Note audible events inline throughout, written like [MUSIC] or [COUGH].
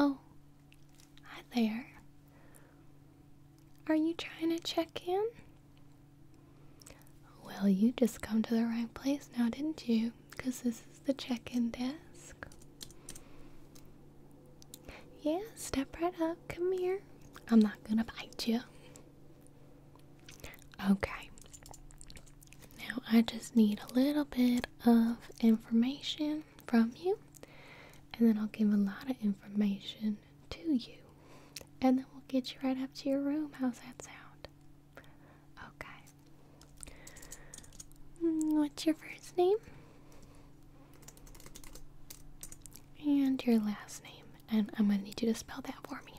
Oh, hi there. Are you trying to check in? Well, you just come to the right place now, didn't you? Because this is the check in desk. Yeah, step right up. Come here. I'm not gonna bite you. Okay. Now I just need a little bit of information from you, and then I'll give a lot of information to you, and then we'll get you right up to your room. How's that sound? Okay. Mm, what's your first name? And your last name. And I'm going to need you to spell that for me.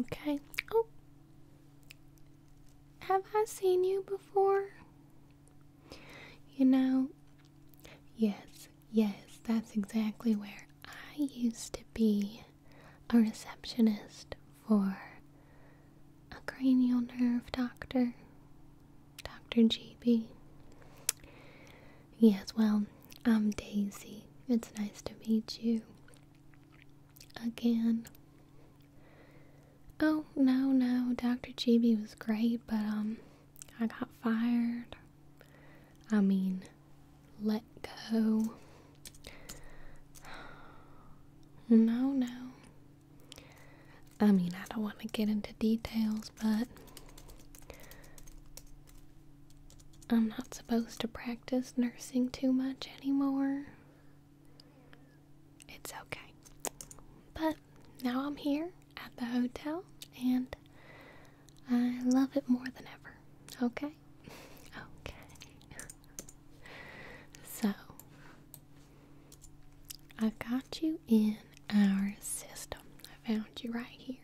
Okay. Oh. Have I seen you before? You know, yes, yes, that's exactly where I used to be a receptionist for a cranial nerve doctor, Dr. GB. Yes, well, I'm Daisy. It's nice to meet you again. Oh, no, no, Dr. Gb was great, but, um, I got fired. I mean, let go. No, no. I mean, I don't want to get into details, but I'm not supposed to practice nursing too much anymore it's okay. But now I'm here at the hotel and I love it more than ever. Okay? [LAUGHS] okay. [LAUGHS] so, I got you in our system. I found you right here.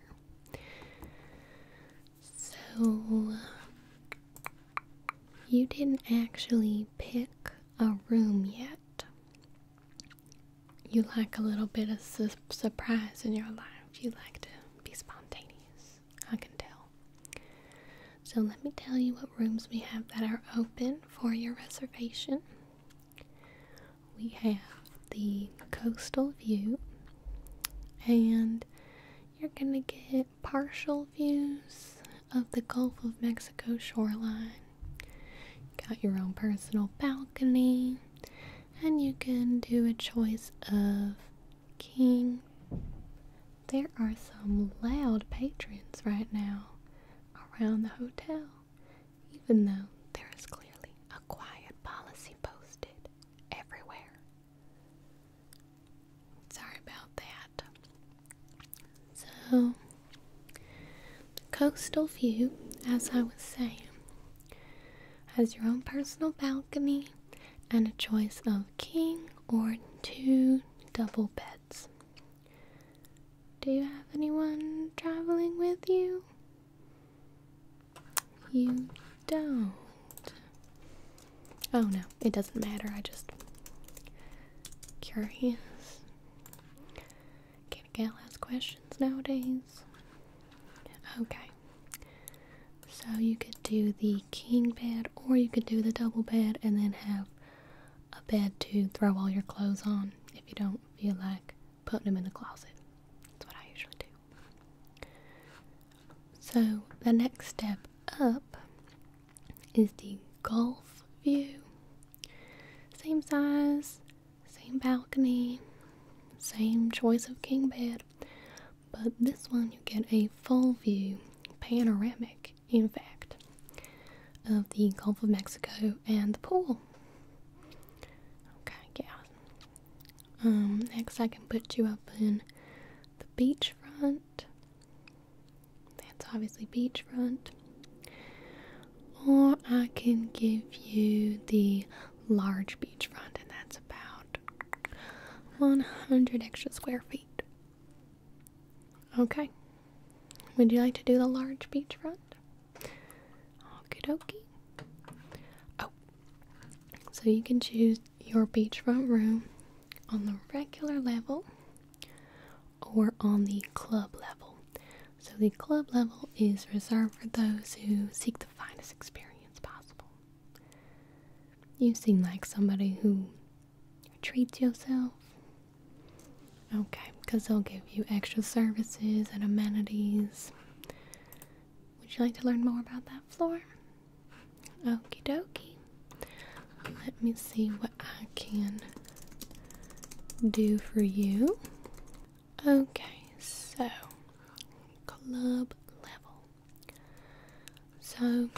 So, you didn't actually pick a room yet. You like a little bit of surprise in your life. You like to be spontaneous. I can tell. So, let me tell you what rooms we have that are open for your reservation. We have the coastal view, and you're going to get partial views of the Gulf of Mexico shoreline. You got your own personal balcony, and you can do a choice of king. There are some loud patrons right now around the hotel, even though there is clearly a quiet policy posted everywhere. Sorry about that. So, coastal view, as I was saying, has your own personal balcony and a choice of king or two double beds. Do you have anyone traveling with you? You don't. Oh no, it doesn't matter. I just curious. Can a gal ask questions nowadays? Okay. So you could do the king bed or you could do the double bed and then have a bed to throw all your clothes on if you don't feel like putting them in the closet. That's what I usually do. So the next step up is the Gulf view. Same size, same balcony, same choice of king bed, but this one you get a full view, panoramic in fact, of the Gulf of Mexico and the pool. Okay, yeah. Um, next I can put you up in the beachfront that's obviously beachfront. Or I can give you the large beachfront, and that's about 100 extra square feet. Okay. Would you like to do the large beachfront? Okie dokie. Oh, so you can choose your beachfront room on the regular level or on the club level. So, the club level is reserved for those who seek the finest experience possible. You seem like somebody who treats yourself. Okay, because they'll give you extra services and amenities. Would you like to learn more about that floor? Okie dokie. Let me see what I can do for you. Okay, so club level. So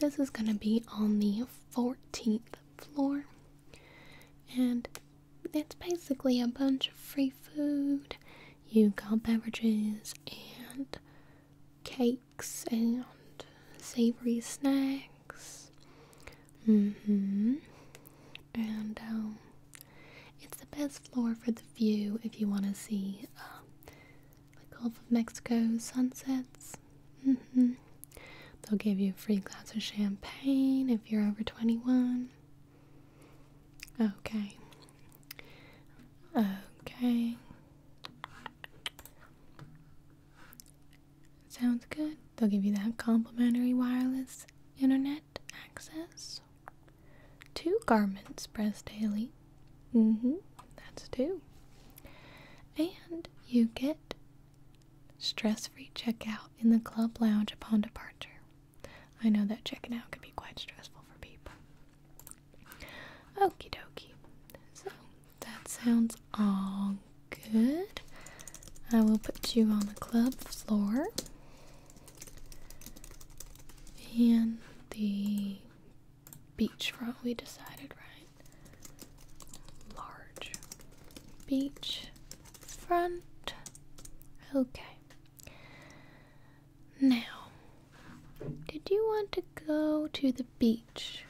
this is going to be on the 14th floor, and it's basically a bunch of free food. You got beverages and cake and savory snacks. Mm hmm. And um, it's the best floor for the view if you want to see uh, the Gulf of Mexico sunsets. Mm hmm. They'll give you a free glass of champagne if you're over 21. Okay. Okay. Sounds good. They'll give you that complimentary wireless internet access. Two garments pressed daily. hmm That's two. And you get stress-free checkout in the club lounge upon departure. I know that checking out can be quite stressful for people. Okie dokie. So that sounds all good. I will put you on the club floor. And the beachfront, we decided, right? Large beach front. Okay. Now, did you want to go to the beach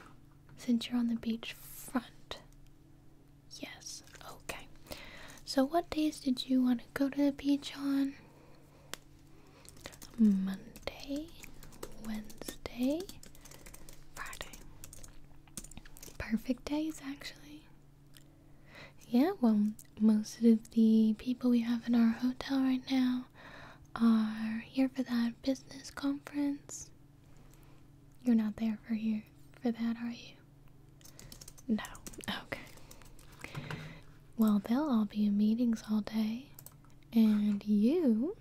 since you're on the beach front? Yes, okay. So, what days did you want to go to the beach on? Monday, Wednesday, Friday. Perfect days, actually. Yeah, well, most of the people we have in our hotel right now are here for that business conference. You're not there for here for that, are you? No. Okay. Well, they'll all be in meetings all day, and you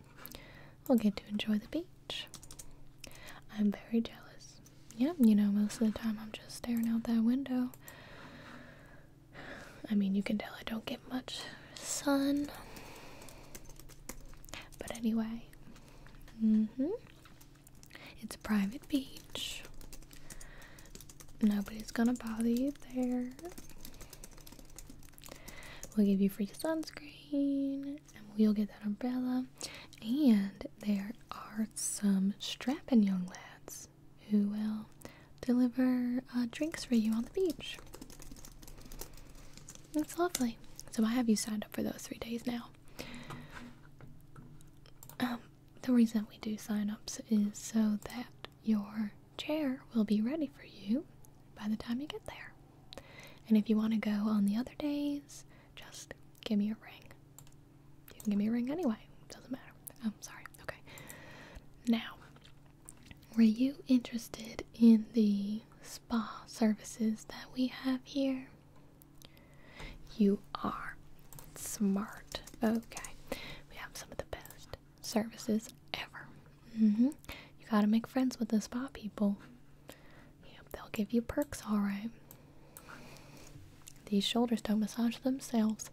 will get to enjoy the beach. I'm very jealous. Yeah, you know, most of the time I'm just staring out that window. I mean, you can tell I don't get much sun. But anyway, mm-hmm. It's a private beach. Nobody's gonna bother you there. We'll give you free sunscreen, and we will get that umbrella. And there are some strapping young lads who will deliver uh, drinks for you on the beach. That's lovely. So I have you signed up for those three days now. Um, the reason we do sign ups is so that your chair will be ready for you by the time you get there. And if you want to go on the other days, just give me a ring. You can give me a ring anyway. Doesn't matter. I'm oh, sorry. Okay. Now, were you interested in the spa services that we have here? You are smart. Okay. We have some of the best services ever. Mm-hmm. You gotta make friends with the spa people. Yep, they'll give you perks, alright. These shoulders don't massage themselves.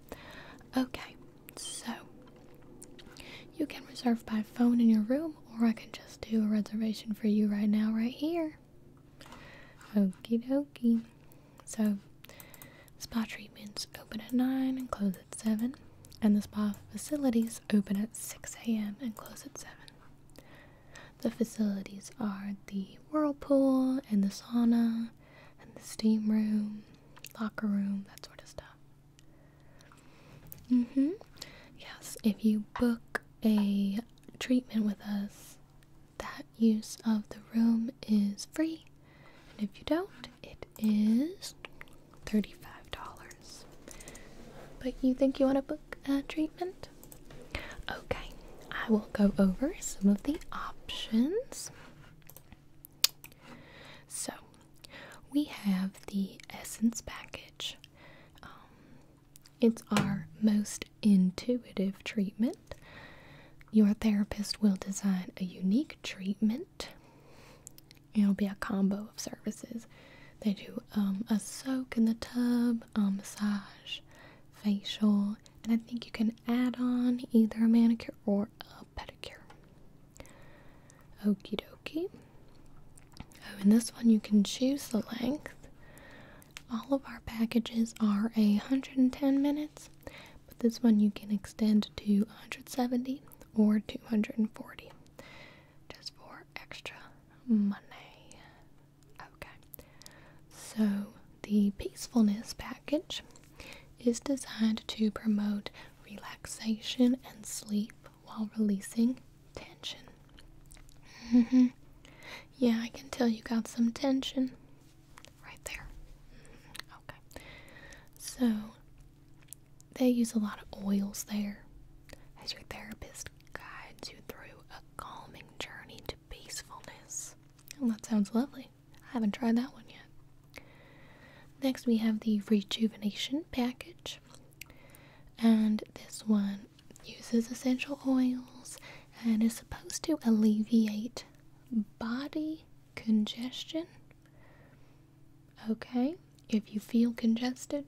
Okay, so, you can reserve by phone in your room, or I can just do a reservation for you right now, right here. Okie dokie. So, spa treatments open at 9 and close at 7, and the spa facilities open at 6 a.m. and close at 7. The facilities are the whirlpool and the sauna and the steam room, locker room, that sort of stuff. Mm hmm. Yes, if you book a treatment with us, that use of the room is free. And if you don't, it is $35. But you think you want to book a treatment? Okay, I will go over some of the options. So, we have the Essence package. Um, it's our most intuitive treatment. Your therapist will design a unique treatment. It'll be a combo of services. They do um, a soak in the tub, a massage, facial, and I think you can add on either a manicure or a pedicure. Okie dokie. Oh, and this one you can choose the length. All of our packages are 110 minutes, but this one you can extend to 170 or 240 just for extra money. Okay, so the peacefulness package is designed to promote relaxation and sleep while releasing tension. Mm-hmm. Yeah, I can tell you got some tension right there. Mm-hmm. Okay. So, they use a lot of oils there as your therapist guides you through a calming journey to peacefulness. And that sounds lovely. I haven't tried that one yet. Next, we have the Rejuvenation Package, and this one uses essential oils and is supposed to alleviate body congestion. Okay, if you feel congested,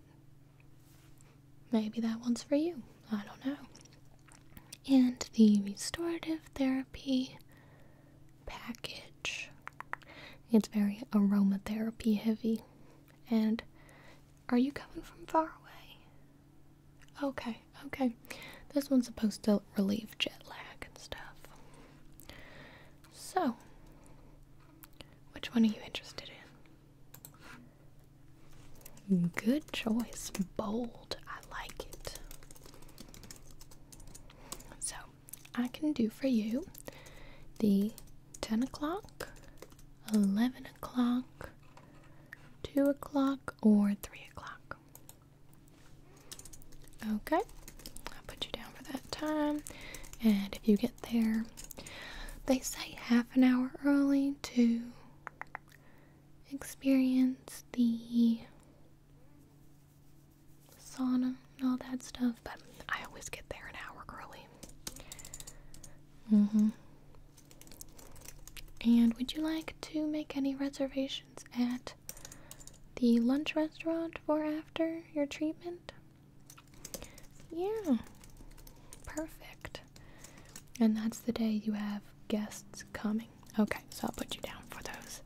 maybe that one's for you. I don't know. And the restorative therapy package. It's very aromatherapy heavy. And are you coming from far away? Okay, okay. This one's supposed to relieve jet lag and stuff. So, which one are you interested in? Good choice. Bold. I like it. So I can do for you the 10 o'clock, 11 o'clock, 2 o'clock, or 3 o'clock. Okay, I'll put you down for that time. And if you get there, they say half an hour early to experience the sauna and all that stuff, but I always get there an hour early. Mm hmm. And would you like to make any reservations at the lunch restaurant for after your treatment? Yeah. Perfect. And that's the day you have guests coming. Okay, so I'll put you down for those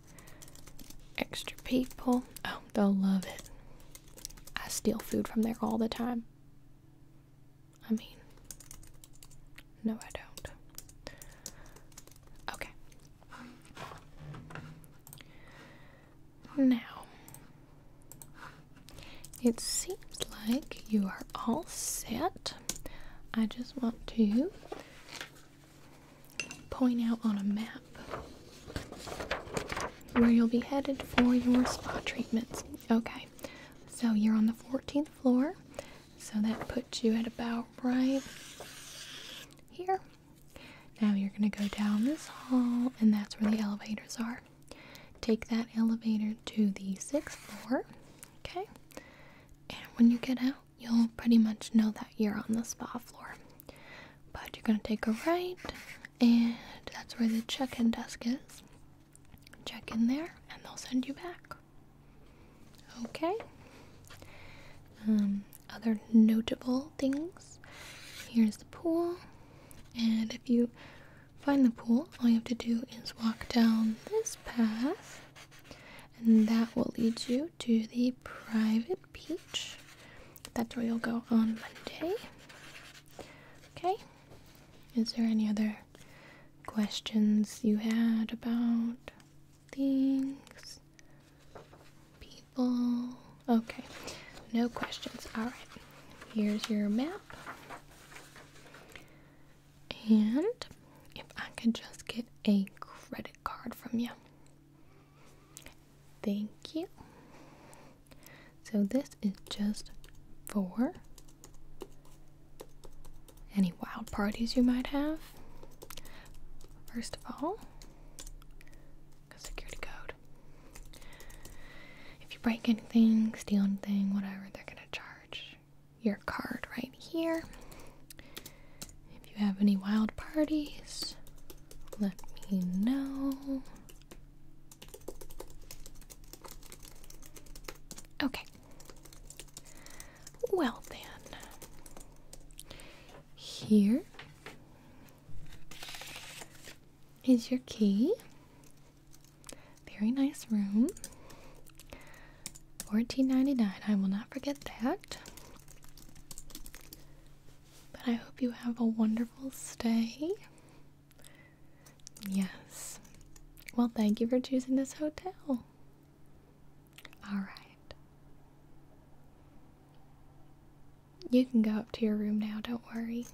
extra people. Oh, they'll love it. I steal food from there all the time. I mean, no, I don't. Okay. Now, it seems like you are all set. I just want to point out on a map where you'll be headed for your spa treatments. Okay, so you're on the 14th floor, so that puts you at about right here. Now you're going to go down this hall, and that's where the elevators are. Take that elevator to the sixth floor, okay? And when you get out, you'll pretty much know that you're on the spa floor. But you're going to take a right, and that's where the check in desk is. Check in there, and they'll send you back. Okay. Um, other notable things here's the pool, and if you find the pool, all you have to do is walk down this path and that will lead you to the private beach. That's where you'll go on Monday. Okay, is there any other questions you had about things? People? Okay, no questions. Alright, here's your map. And if I could just get a credit card from you. Thank you. So this is just for any wild parties you might have. First of all, security code. If you break anything, steal anything, whatever, they're gonna charge your card right here. If you have any wild parties, let me know. Okay. Well, then, here is your key. Very nice room. Fourteen ninety nine. I will not forget that. But I hope you have a wonderful stay. Yes. Well, thank you for choosing this hotel. All right. You can go up to your room now, don't worry.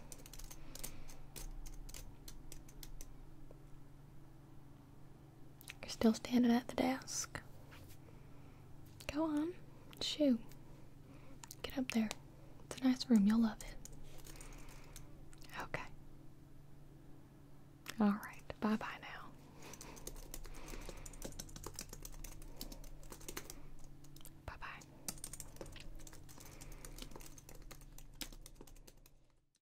You're still standing at the desk. Go on. Shoo. Get up there. It's a nice room. You'll love it. Okay. Alright. Bye bye now. Bye bye.